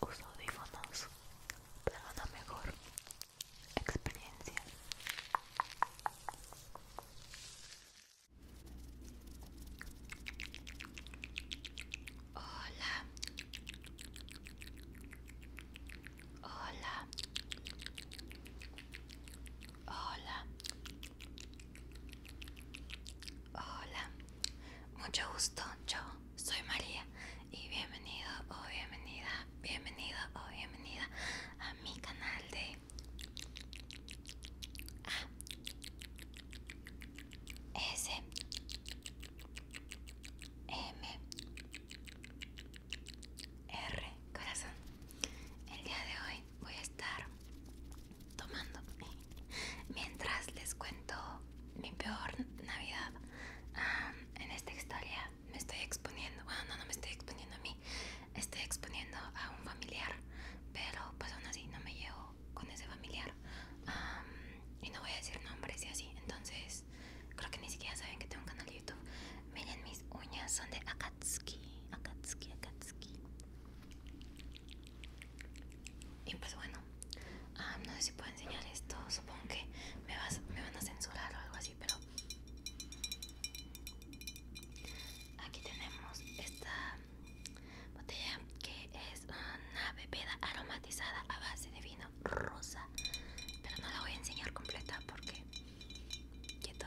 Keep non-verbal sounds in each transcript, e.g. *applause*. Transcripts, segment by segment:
Uso audífonos para una mejor experiencia. Hola. Hola. Hola. Hola. Mucho gusto. Yo soy María y bienvenido o bienvenida, bienvenido o bienvenida a mi canal de A S M R corazón. El día de hoy voy a estar tomando mientras les cuento mi peor navidad en esta historia me estoy exponiendo bueno no no me estoy exponiendo a mí estoy exponiendo a un familiar pero pues aún así no me llevo con ese familiar y no voy a decir nombres y así entonces creo que ni siquiera saben que tengo un canal youtube miren mis uñas son de akatsuki akatsuki akatsuki y pues bueno Ah, no sé si puedo enseñar esto. Supongo que me, me van a censurar o algo así, pero. Aquí tenemos esta botella que es una bebida aromatizada a base de vino rosa. Pero no la voy a enseñar completa porque. Quieto.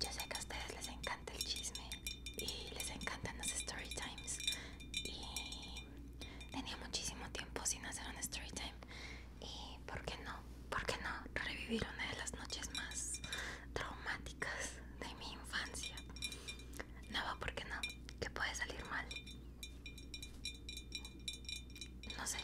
Yo sé que a ustedes les encanta el chisme y les encantan los story times. Y tenía muchísimo tiempo sin hacer un story time. Y por qué no, por qué no revivir una de las noches más traumáticas de mi infancia. No, por qué no, que puede salir mal. No sé.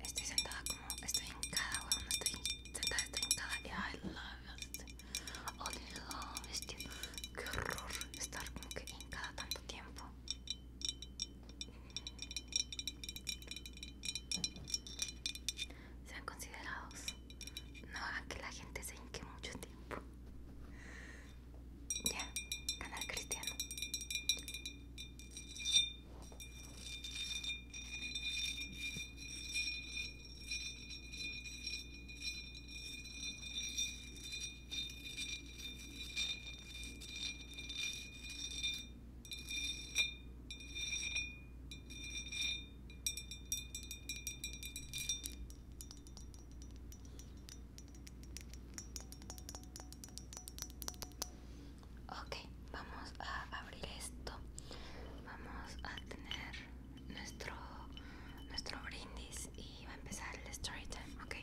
Estoy sentada como estoy hincada, weón. Estoy sentada, estoy hincada. y I love it. Only love it. que horror estar como que hincada tanto tiempo. Sean considerados. No hagan que la gente se hinque mucho tiempo. Ya, canal cristiano. Ok, vamos a abrir esto. Vamos a tener nuestro nuestro brindis y va a empezar el story time, ok.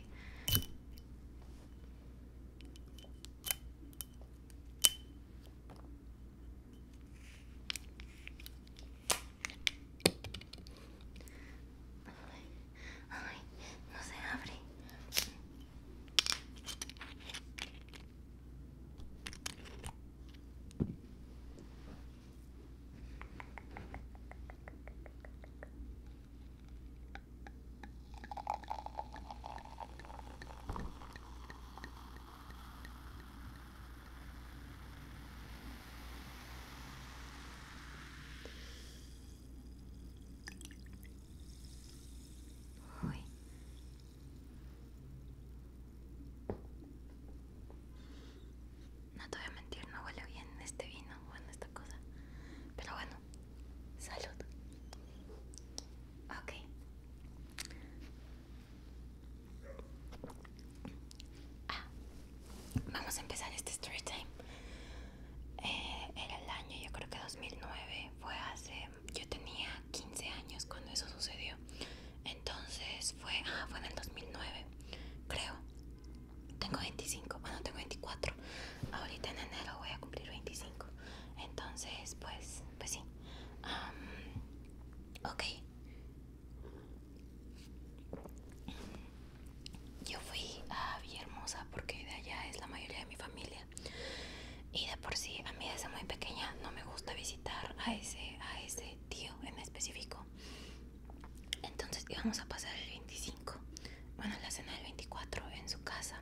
Ay, no se abre. No te voy a mentir, no huele bien este vino, bueno, esta cosa. Pero bueno, salud. Ok. Ah, vamos a empezar este story time. Eh, era el año, yo creo que 2009, fue hace... Yo tenía 15 años cuando eso sucedió. Entonces fue... Ah, fue en el 2009, creo. Tengo 25, bueno, tengo 24. Ahorita en enero voy a cumplir 25. Entonces, pues, pues sí. ok ok, yo fui a Villahermosa porque de allá es la mayoría de mi familia. Y de por sí, a mí desde muy pequeña no me gusta visitar a ese, a ese tío en específico. Entonces íbamos a pasar el 25, bueno, la cena del 24 en su casa.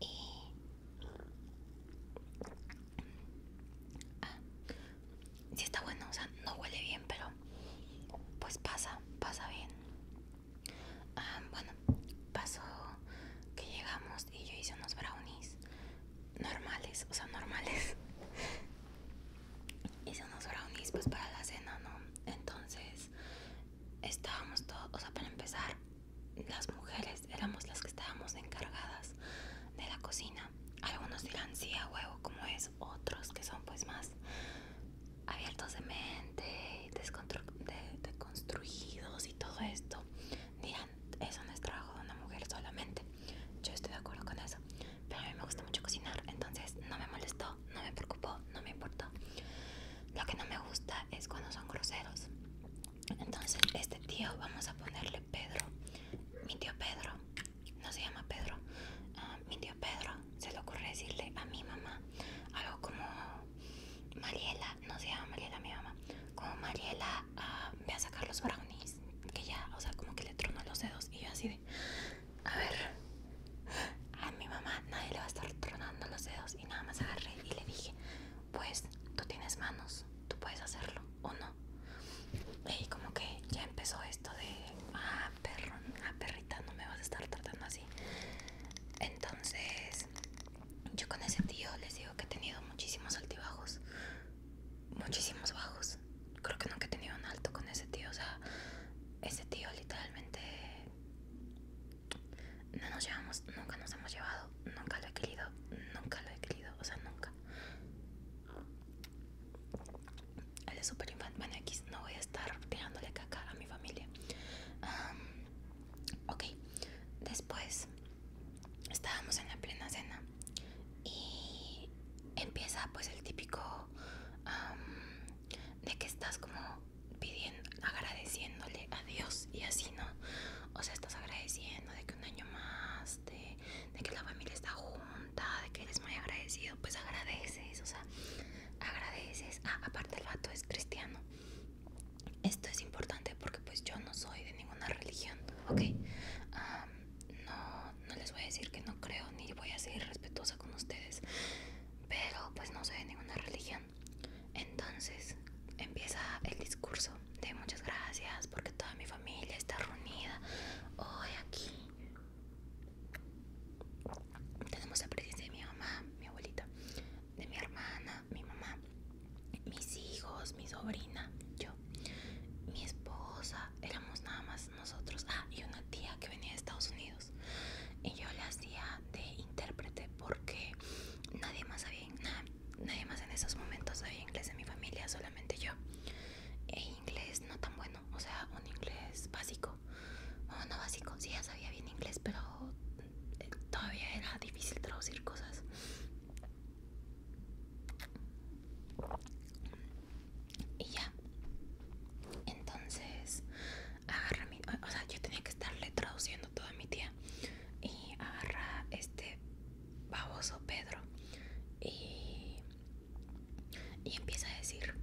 Y. Ah, si está bueno, o sea, no huele bien, pero pues pasa, pasa bien. Ah, bueno, pasó que llegamos y yo hice unos brownies normales, o sea, normales. *laughs* hice unos brownies pues para la cena, ¿no? Entonces estábamos todos, o sea, para empezar, las mujeres éramos las que estábamos encargadas de la cocina. Algunos dirán, sí, a huevo, como eso pues, otros que son pues más abiertos de mente, desconstruidos y todo esto, dirán, eso no es trabajo de una mujer solamente. Yo estoy de acuerdo con eso, pero a mí me gusta mucho cocinar, entonces no me molestó, no me preocupó, no me importó. Lo que no me gusta es cuando son groseros. Entonces, este tío vamos a ponerle Pedro, mi tío Pedro, no se llama Pedro, ah, mi tío Pedro se le ocurre decirle a mi mamá algo como Mariela, no se llama Mariela mi mamá, como Mariela voy ah, ve a sacar los brownies, que ya, o sea, como que le trono los dedos y yo así de, a ver, a mi mamá nadie le va a estar tronando los dedos y nada más agarré y le dije, pues tú tienes manos, tú puedes hacerlo o no. Y como que ya empezó esto de, ah, perro, ah, perrita, no me vas a estar tratando así. Entonces, yo con ese tío les digo que he tenido muchísimos altibajos. Muchísimos bajos. Creo que nunca he tenido un alto con ese tío. O sea, ese tío literalmente no nos llevamos, nunca nos hemos llevado, nunca lo he querido, nunca lo he querido, o sea, nunca el de Super Infant X. No voy a estar tirándole caca a mi familia. ok, después estábamos en la plena cena y empieza pues el típico de que estás como pidiendo, agradeciéndole a Dios y así, ¿no? O sea, estás agradeciendo de que un año más este, de que la familia está junta, de que eres muy agradecido, pues agradeces, o sea, agradeces. Ah, aparte el vato es cristiano. Esto es importante porque pues yo no soy de ninguna religión, ¿ok? no, no les voy a decir que no creo ni voy a ser respetuosa con ustedes, pero pues no soy de ninguna religión. Entonces empieza el discurso de muchas gracias porque toda mi familia está reunida hoy aquí tenemos la presencia de mi mamá, mi abuelita, de mi hermana, mi mamá, mis hijos, mi sobrina, yo, mi esposa. Éramos nada más nosotros. Ah, y una tía que venía de Estados Unidos. Y yo la hacía de intérprete porque nadie más sabía, nadie más en esos momentos sabía inglés en mi familia, solamente yo. E inglés no tan bueno, o sea, un inglés básico. O no básico, si ya sabía bien inglés, pero eh, todavía era difícil traducir cosas. Y ya. Entonces, agarra mi. O sea, yo tenía que estarle traduciendo toda a mi tía. Y agarra este baboso Pedro. Y y empieza a decir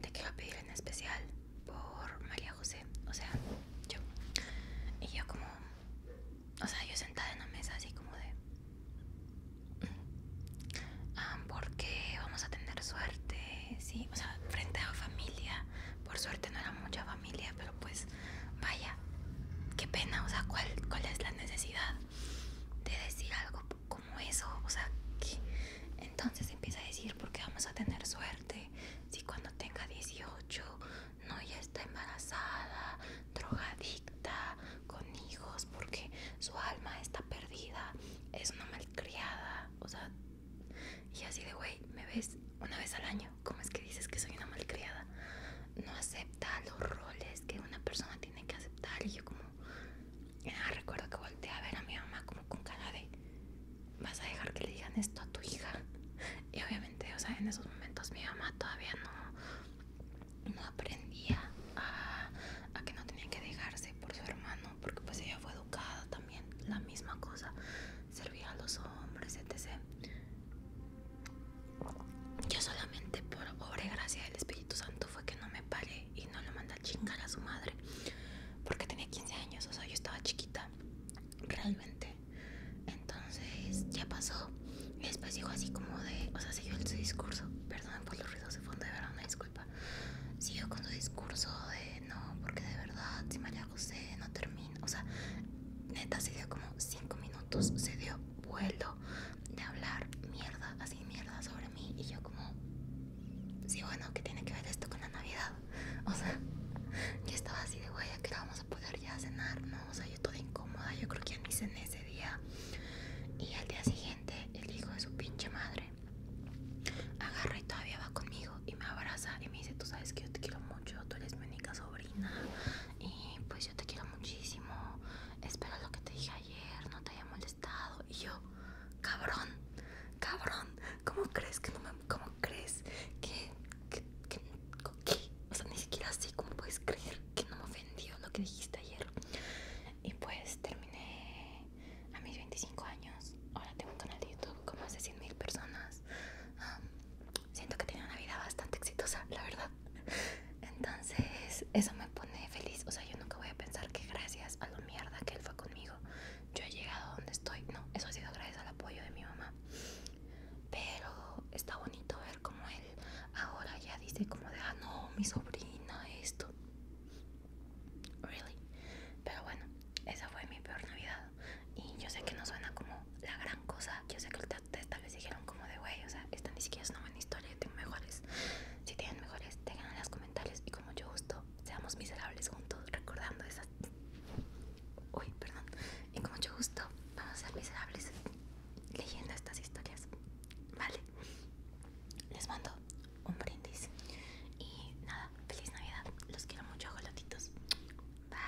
de que va a pedir en especial por María José, o sea, yo. Y yo como, o sea, yo sentada en una mesa así como de... Mm, ah, porque vamos a tener suerte, sí, o sea, frente a familia. Por suerte no era mucha familia, pero pues vaya, qué pena, o sea, ¿cuál, cuál es la necesidad? de decir algo como eso, o sea, que entonces empieza a decir porque vamos a tener suerte si cuando tenga 18 no ya está embarazada, drogadicta, con hijos, porque su alma está perdida, es una malcriada, o sea, y así de güey, me ves una vez al año, ¿cómo es que dices que soy una malcriada? No acepta los roles que una persona tiene que aceptar. Y yo como, ah, recuerdo que volteé a ver a mi mamá como con cara de, vas a dejar que le digan esto a tu hija. Y obviamente, o sea, en esos momentos mi mamá todavía no, no aprendía a, que no tenía que dejarse por su hermano, porque pues ella fue educada también, la misma cosa, servía a los hombres, etc. Yo solamente por obra y gracia del Espíritu Santo fue que no me paré y no le mandé a chingar a su madre. Porque tenía 15 años, o sea, yo estaba chiquita, realmente. Entonces ya pasó. Y después dijo así como de, o sea, siguió su discurso. perdón por los ruidos de fondo, de verdad, una disculpa. Siguió con su discurso de, no, porque de verdad, si María José no termina. O sea, neta se dio como 5 minutos, se dio vuelo de hablar mierda, así mierda sobre mí y yo como, sí bueno, ¿qué tiene que ver esto con la Navidad? O sea, *laughs* yo estaba así de, güey, que vamos a poder ya cenar? No, o sea, yo toda incómoda, yo creo que ya ni cené ese día. Y al día siguiente, el hijo de su pinche madre agarra y todavía va conmigo y me abraza y me dice, tú sabes que yo te quiero mucho, tú eres mi única sobrina y pues yo te quiero muchísimo espero lo que te dije ayer no te haya molestado. Y yo, cabrón, cabrón, ¿cómo crees que no me... ¿Cómo crees que... que, o sea, ni siquiera así cómo puedes creer que no me ofendió lo que dijiste ayer. Y pues terminé a mis 25 años. Ahora tengo un canal de YouTube con más de 100.000 personas. siento que tiene una vida bastante exitosa, la verdad. Entonces, eso me pone feliz. O sea, yo nunca voy a pensar que gracias a lo mierda que él fue conmigo, yo he llegado a donde estoy. No, eso ha sido gracias al apoyo de mi mamá. Pero está bonito ver como él ahora ya dice como de, ah, no, mi sobrina, esto. Really. Pero bueno, esa fue mi peor Navidad. Y yo sé que no suena como la gran cosa. Yo sé que esta les dijeron como de güey, o sea, están ni siquiera es una buena historia, tengo mejores. Si tienen mejores, tengan en los comentarios y como mucho gusto seamos miserables juntos recordando esas... Uy, perdón. Y con mucho gusto vamos a ser miserables leyendo estas historias. Vale. Les mando un brindis. Y nada, feliz Navidad. Los quiero mucho, golotitos. Bye.